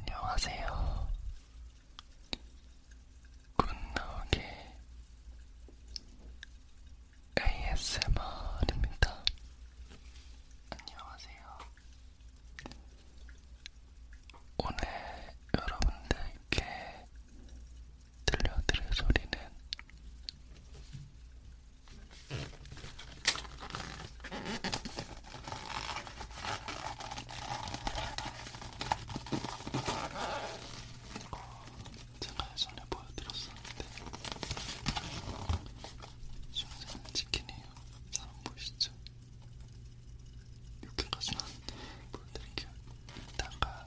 안녕하세요. 굿나오기 ASMR입니다. 안녕하세요. 오늘 여러분들께 들려드릴 소리는 제가 예전에 보여드렸었는데 순살 치킨이에요. 사람 보시죠? 이렇게까지는 보여드릴게요. 이따가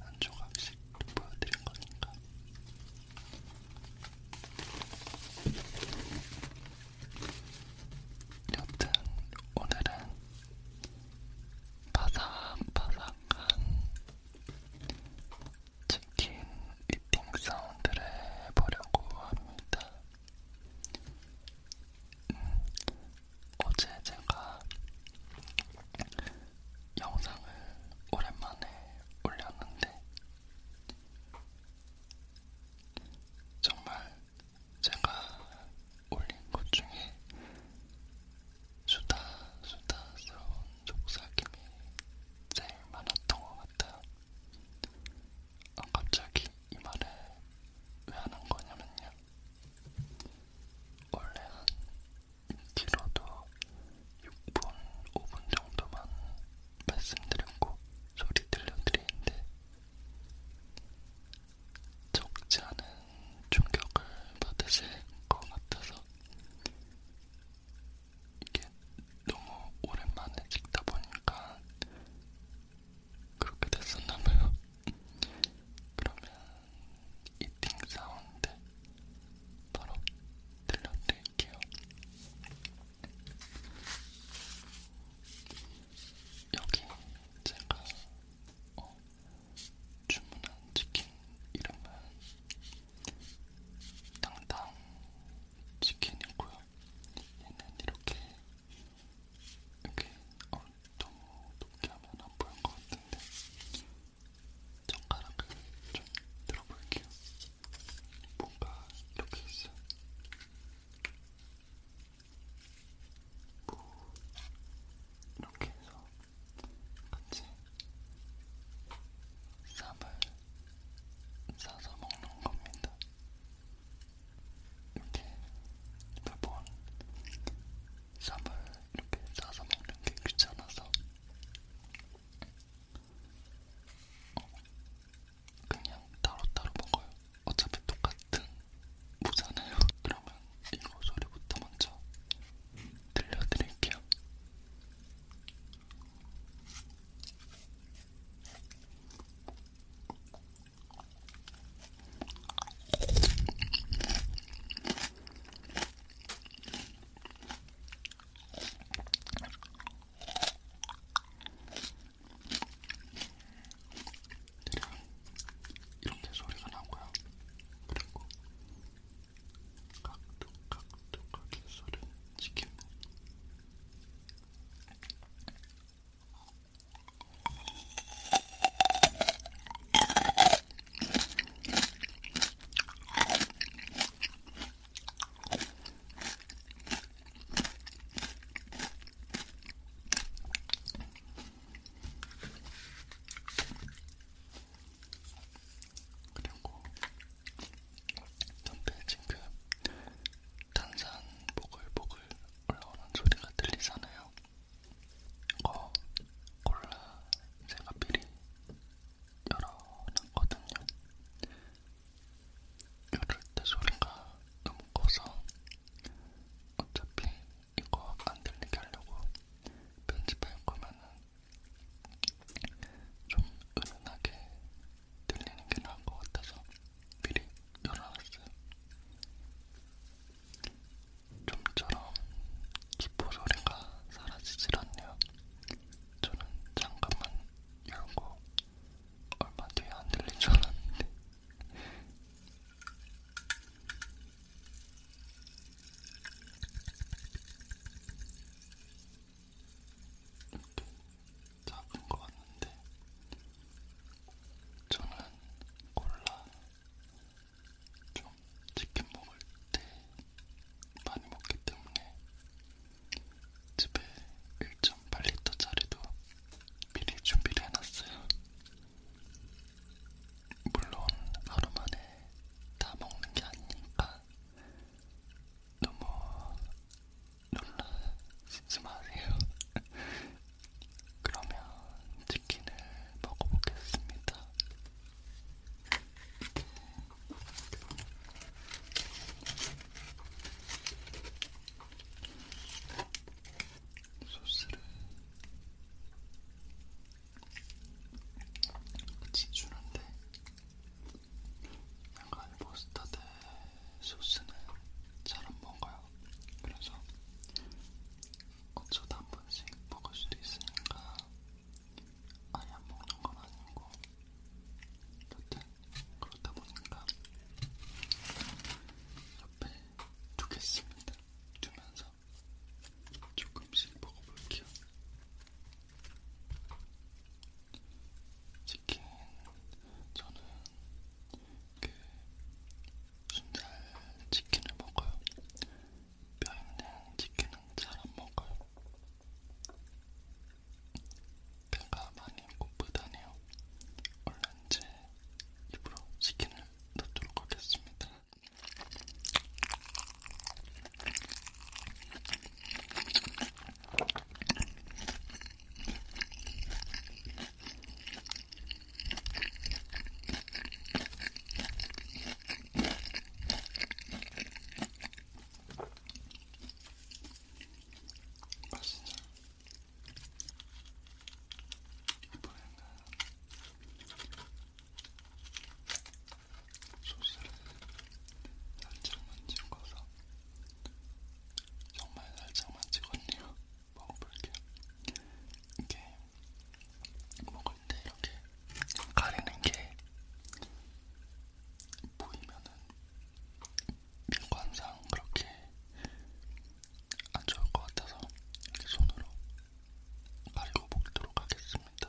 한 조각씩 보여드린 거니까 여튼 오늘은 바삭바삭한 치킨 이팅 사운드를 해보려고 합니다. 음, 어제 제가 영상을 오랜만에 올렸는데 정말 제가 올린 것 중에 수다수다스러운 속삭임이 제일 많았던 것 같아요. 아, 갑자기 이 말을 왜 하는 거냐면요. 원래 한 길어도 6분, 5분 정도만 말씀드렸고 소리 들려드리는데 적지 않은 충격을 받으실 것 같아서 이게 너무 오랜만에 찍다 보니까 그렇게 됐었나봐요. 그러면 이팅 사운드 바로 들려드릴게요. 여기 제가 어, 주문한 치킨 이름은 당당 치킨이고요. 얘는 이렇게 이렇게 어, 너무 높게 하면 안 보일 것 같은데 젓가락을 좀 들어볼게요. 뭔가 이렇게 있어요. 뭐 이렇게 해서 같이 쌈을 싸서 먹는 겁니다. 이렇게 몇번 쌈을 이렇게 싸서 먹는 게 귀찮아서 그냥 따로따로 먹어요. 어차피 똑같은 무잖아요. 그러면 이거 소리부터 먼저 들려드릴게요. 대략 이렇게 소리가 나고요. 그리고 각도각도각의 소리를 지키면 그리고 옆에 지금 탄산 보글보글 올라오는 소리가 들리잖아요. 이거 콜라 제가 미리 열어놨거든요. 이럴 때 소리가 너무 커서 어차피 이거 안 들리게 하려고 편집할 거면은 좀 은은하게 들리는 게 나을 것 같아서 미리 열어놨어요. 좀처럼 기포 소리가 사라지질 않네요. 저는 잠깐만 열고 얼마 뒤에 안 들릴 줄 알았는데. 이렇게 작은 거 같는데 저는 콜라 좀 치킨 먹을 때 많이 먹기 때문에 집에 1.8리터짜리도 미리 준비를 해놨어요. 물론 하루 만에 다 먹는 게 아니니까 너무 놀라지 마세요. 그러면 치킨을 먹어보겠습니다. 소스를 지주는데 약간 머스타드 소스는 잘안 먹어요. 그래서 어쩌다 한 번씩 먹을 수도 있으니까 아예 안 먹는 건 아니고 여튼 그렇다 보니까 옆에 두겠습니다. 두면서 조금씩 먹어볼게요. 치킨 저는 그 순살 치킨을 먹어요. 뼈 있는 치킨은 잘 안 먹어요. 배가 많이 고프다네요. 얼른 제 입으로 치킨을 넣도록 하겠습니다. 맛있냐? 이번에는 소스를 살짝만 찍어서 정말 살짝만 찍었네요. 먹어볼게요. 이렇게 먹을 때 이렇게 가리는 게 보이면은 미관상 그렇게 안 좋을 것 같아서 이렇게 손으로 가리고 먹도록 하겠습니다.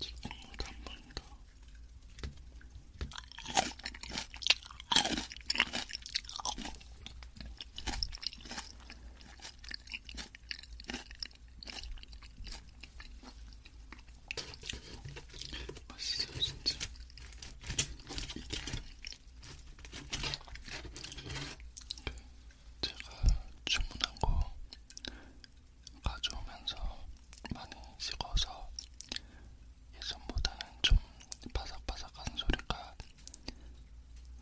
뒷국물도 한번 더. 맛있어요 진짜 이게 그 제가 주문한 거 가져오면서 많이 식어서 예전보다는 좀 바삭바삭한 소리가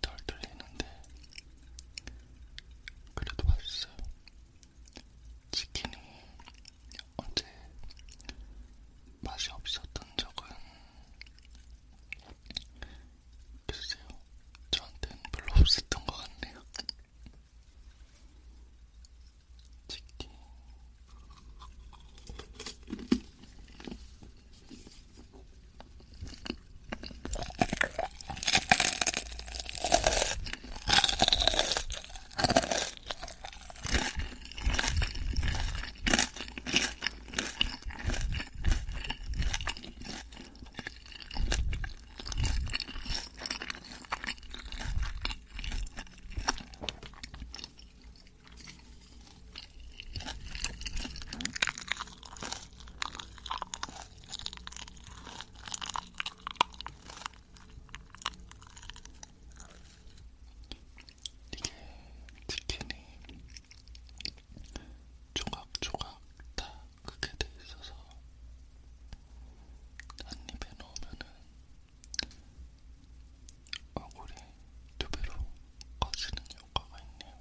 덜 들리는데 그래도 맛있어요. 치킨이 언제 맛이 없었던 적은 글쎄요, 저한테는 별로 없었던 것 같네요. 치킨. 이게 네, 네. 치킨이 조각조각 다 크게 돼 있어서 한 입에 넣으면은 얼굴이 두 배로 커지는 효과가 있네요.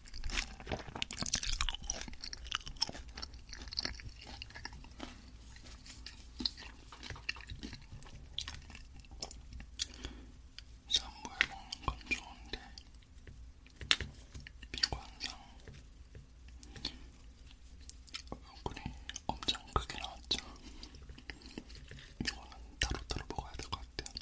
싼걸 먹는 건 좋은데 미관상 얼굴이 엄청 크게 나왔죠. 이거는 따로따로 먹어야 될 것 같아요.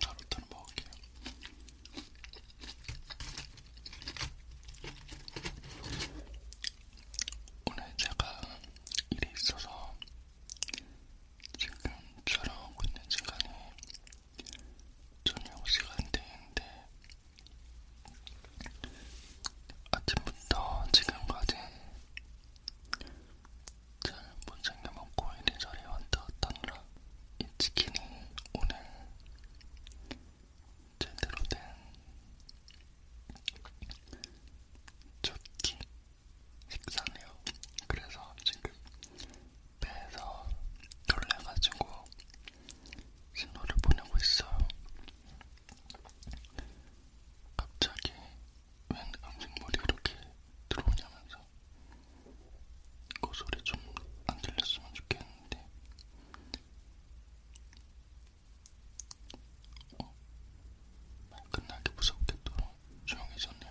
가루탄 먹을게요. 오늘 제가 일이 있어서 지금 촬영하고 있는 시간이 저녁 시간대인데 아침부터 지금까지 잘못 챙겨 먹고 이리저리 왔다 갔다느라 이 치킨이 오늘 제대로 된 첫끼 식사네요. 그래서 지금 배에서 놀래가지고 신호를 보내고 있어요. 갑자기 웬 음식물이 이렇게 들어오냐면서 그 소리 좀 안 들렸으면 좋겠는데 어? 말 끝나기 무섭겠도록 조용해졌네요.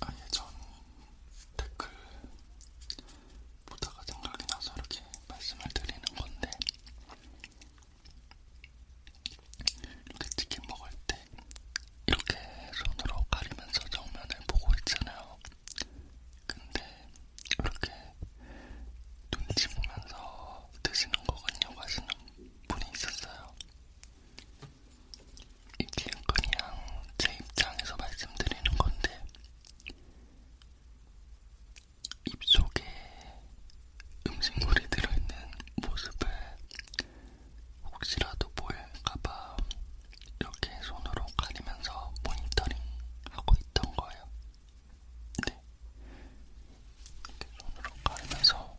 아예 전 댓글 보다가 생각이 나서 이렇게 말씀을 드리는 건데 이렇게 치킨 먹을 때 이렇게 손으로 가리면서 정면을 보고 있잖아요. 근데 이렇게 눈치 보면서 드시는 거군요 하시는 분이 있었어요. 이게 그냥 제 입장에서 말씀드리는 건데, 입속에 음식물이 들어있는 모습을 혹시라도 보일까봐 이렇게 손으로 가리면서 모니터링 하고 있던 거예요. 네. 이렇게 손으로 가리면서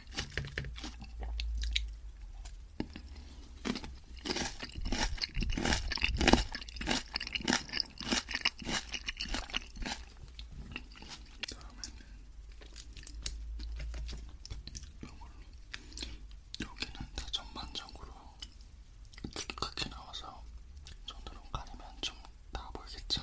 여기는 다 전반적으로 두껍게 나와서 손으로 가리면 좀 다 보이겠죠?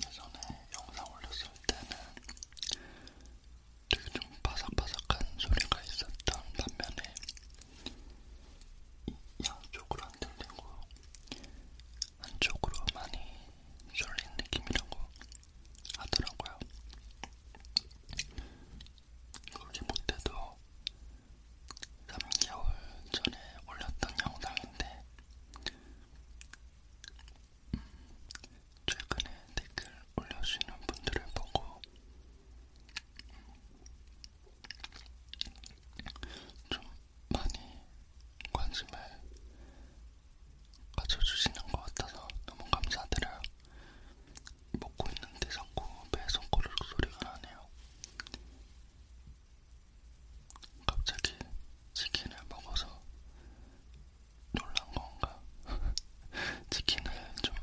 예전에 영상 올렸을 때는 되게 좀 바삭바삭한 소리가 있었던 반면에 양쪽으로 안 들리고 한쪽으로 많이 졸린 느낌이라고 하더라고요. 그렇게 못해도 3개월 전에 올렸던 영상인데 음, 최근에 댓글 올려주시는 분들을 보고 음, 좀 많이 관심을 가져주시는 것 같아서 너무 감사드려요. 먹고 있는데 자꾸 배에 손가락 소리가 나네요. 갑자기 치킨을 먹어서 놀란 건가? 치킨을 좀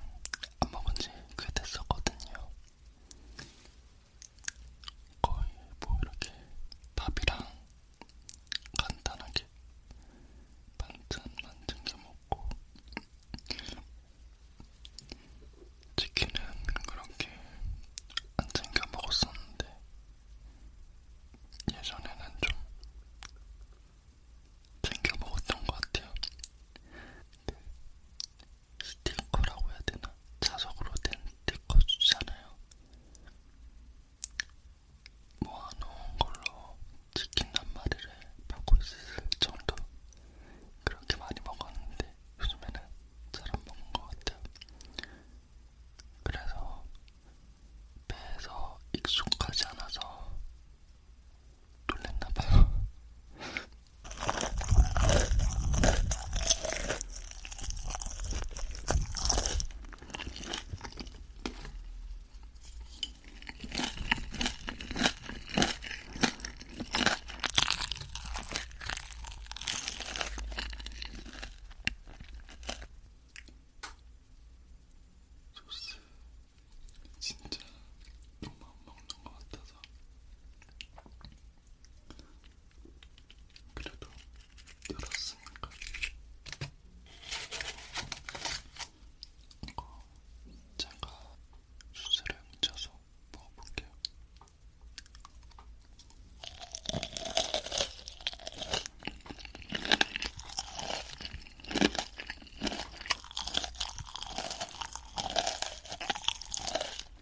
안 먹은 지꽤 됐었거든요. 거의 뭐 이렇게 밥이랑 간단하게 반찬만 챙겨 먹고 치킨은 그렇게 안 챙겨 먹었었는데 예전에는 좀 챙겨 먹었던 것 같아요. 스티커라고 해야 되나? 자석으로 된 스티커 주잖아요. 모아놓은 걸로 치킨 한 마리를 받고 있을 정도 그렇게 많이 먹었는데 요즘에는 잘 안 먹는 것 같아요. 그래서 배에서 익숙하지 않아서 놀랬나봐요. 소스 진짜 너무 안 먹는 것 같아서 그래도 열었으니까 이거 제가 수세를 묻혀서 먹어볼게요.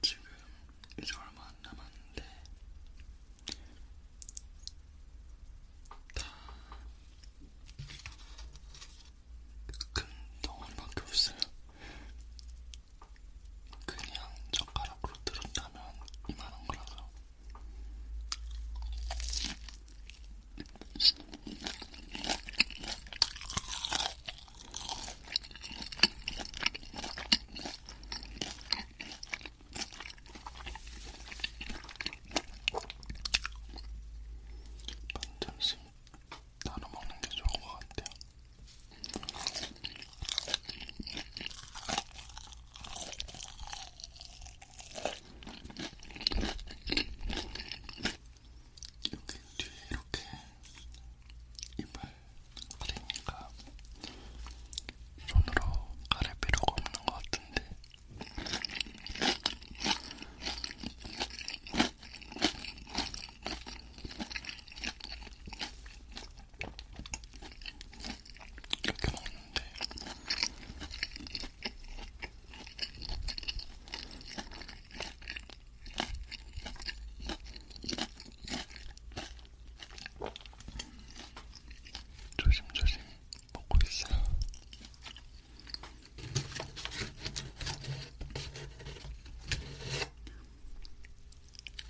지금 이제 얼마 안 남았는데 다큰 덩어리밖에 없어요. 그냥 젓가락으로 들었다면 이만한 거라서. 반점심 나눠 먹는 게 좋은 것 같아요. 여기 뒤에 이렇게 이발 그리니까 손으로 가릴 필요가 없는 것 같은데. 이렇게 먹는데 조심조심 먹고 있어요.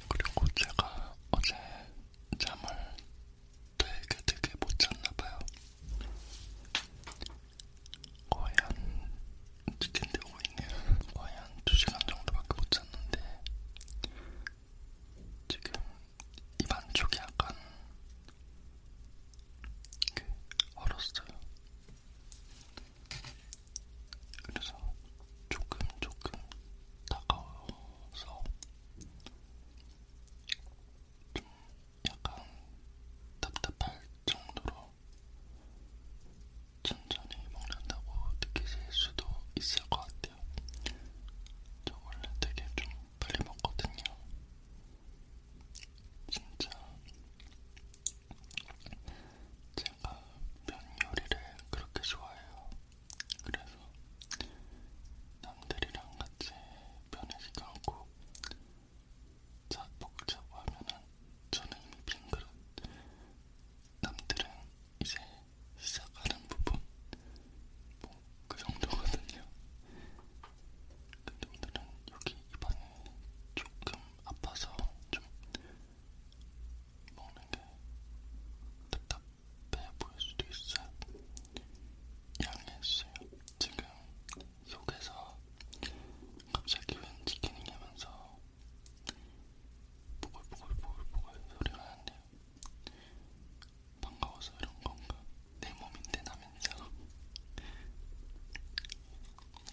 그리고 제가 어제 잠을 되게 되게 못 잤나봐요. 거의 한 늦게 되고 있네요. 거의 한 2시간 정도밖에 못 잤는데 지금 입 안쪽이 약간 이렇게 얼었어요. 그래서 조금 조금 다가와서 좀 약간 답답할 정도로 천천히 먹는다고 느끼실 수도 있을 것 같아요. 저 원래 되게 좀 빨리 먹거든요. 진짜 제가 면 요리를 그렇게 좋아해요. 그래서 남들이랑 같이 면을 시켜놓고 자 먹자고 하면은 저는 이미 빈 그릇. 남들은 이제 시작하는 부분 뭐 그 정도거든요. 근데 오늘은 여기 입안이 조금 아파서 좀 먹는 게 답답해 보일 수도 있어요. 양해해주세요. 지금 속에서 갑자기 웬 치킨이 냐면서 보글보글보글보글 소리가 나는데요. 반가워서 이런 건가? 내 몸인데 나면서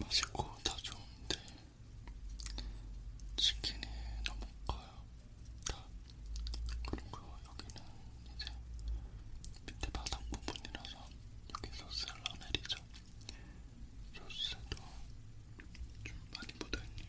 맛있고 다 좋은데 치킨이 너무 커요. 다. 그리고 여기는 이제 밑에 바닥 부분이라서 여기 소스를 안 내리죠. 소스도 좀 많이 묻어있네요.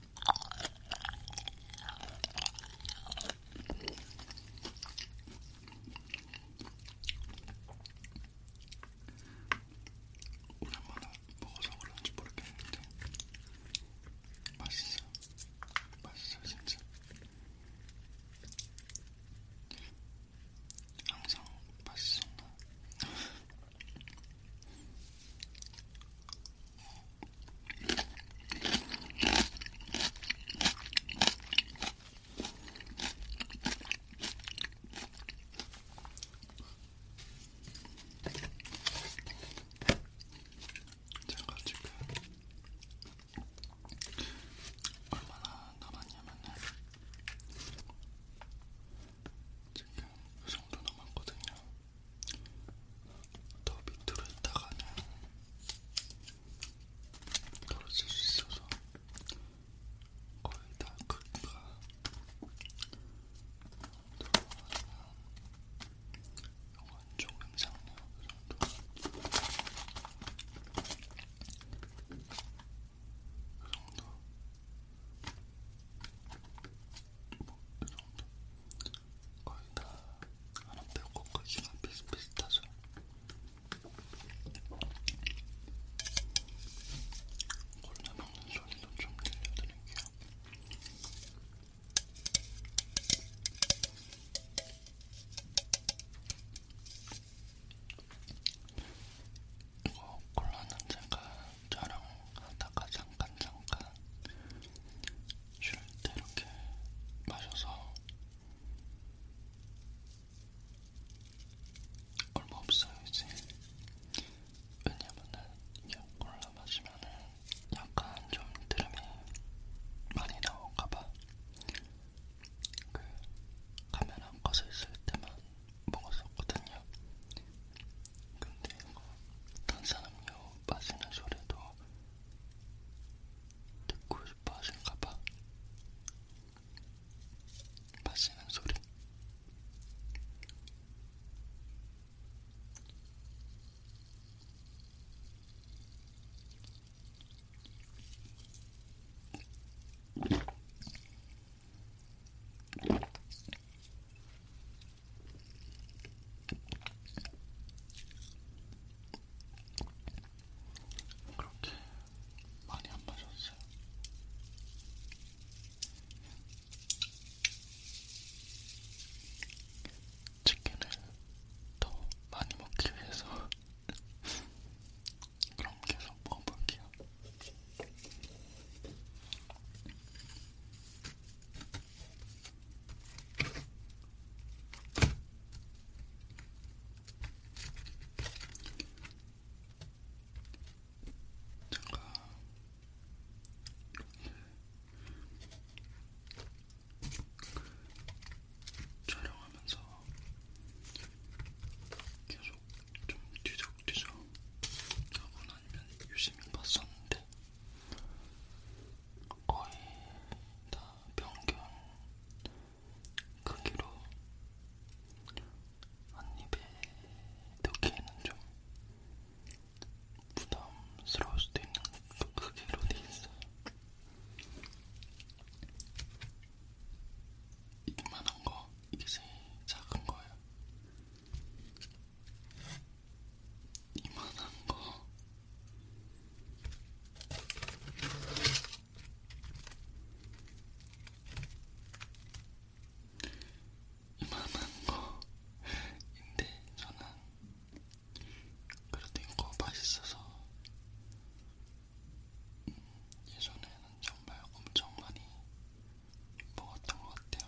오랜만에 먹어서 그런지 모르겠는데 맛있어요. 맛있어요, 진짜. 항상 맛있었나? 제가 지금 얼마나 남았냐면은 지금 그 정도 남았거든요. 더 밑으로 했다가는 떨어질 수 있어서 거의 다 크기가 이건 조금 작네요. 그 정도. 그 정도. 뭐이 정도 거의 다 하나 빼고 크기가 비슷비슷하죠. 골라 먹는 소리도 좀 들려드릴게요. 어, 콜라는 제가 촬영하다가 잠깐 잠깐 쉴 때 이렇게 마셔서 얼마 없어요 이제 왜냐면은 이게 콜라 마시면은 약간 좀 드름이 많이 나올까봐 그 카메라 꺼져 있을 때만 먹었었거든요. 근데 이거 탄산음료 마시는 소리도 듣고 싶어 하실까봐 마시는 소리 그렇게 많이 안 마셨어요. 치킨을 더 많이 먹기 위해서 그럼 계속 먹어볼게요. 촬영하면서 계속 좀 뒤적뒤적 저분 아니면 유심히 봤었는데 거의 다 평균 크기로 한입에 넣기에는 좀 부담스러울 수도 있는 그 크기로 돼 있어요. 이만한 거, 이게 제일 작은 거예요. 이만한 거 이만한 거인데 저는 그래도 이거 맛있어서 음, 예전에는 정말 엄청 많이 먹었던 것 같아요.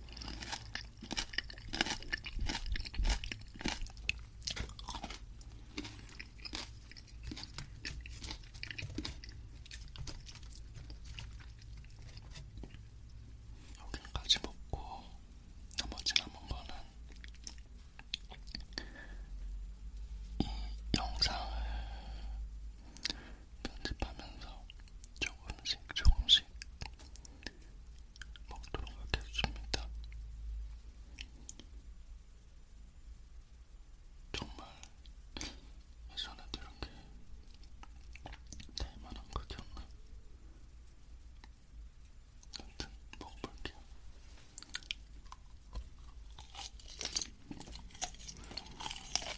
여기까지 먹고 나머지 남은 거는 이 영상을 편집하면서 조금씩 조금씩 먹도록 하겠습니다. 정말 예전에도 이렇게 날만한 그게 없나? 아무튼 먹어볼게요.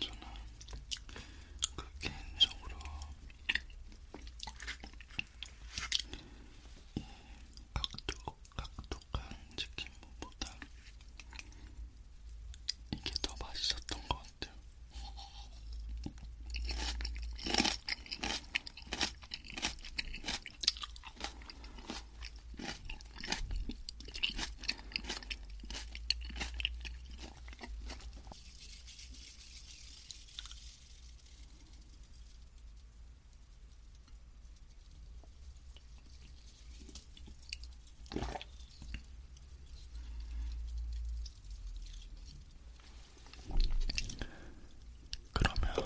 저는 그 개인적으로 이 각독, 각독한 치킨보다 이게 더 맛있었던 것 같아요. 그러면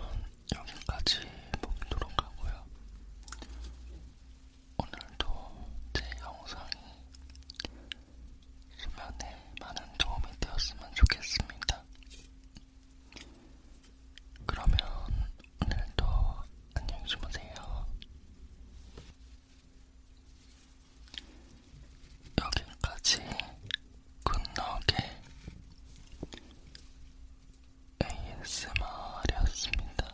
여기까지 먹도록 하고요. 오늘도 제 영상이 수면에 많은 도움이 되었으면 좋겠습니다. 그러면 오늘도 안녕히 주무세요. 여기까지 굿나게 ASMR이었습니다.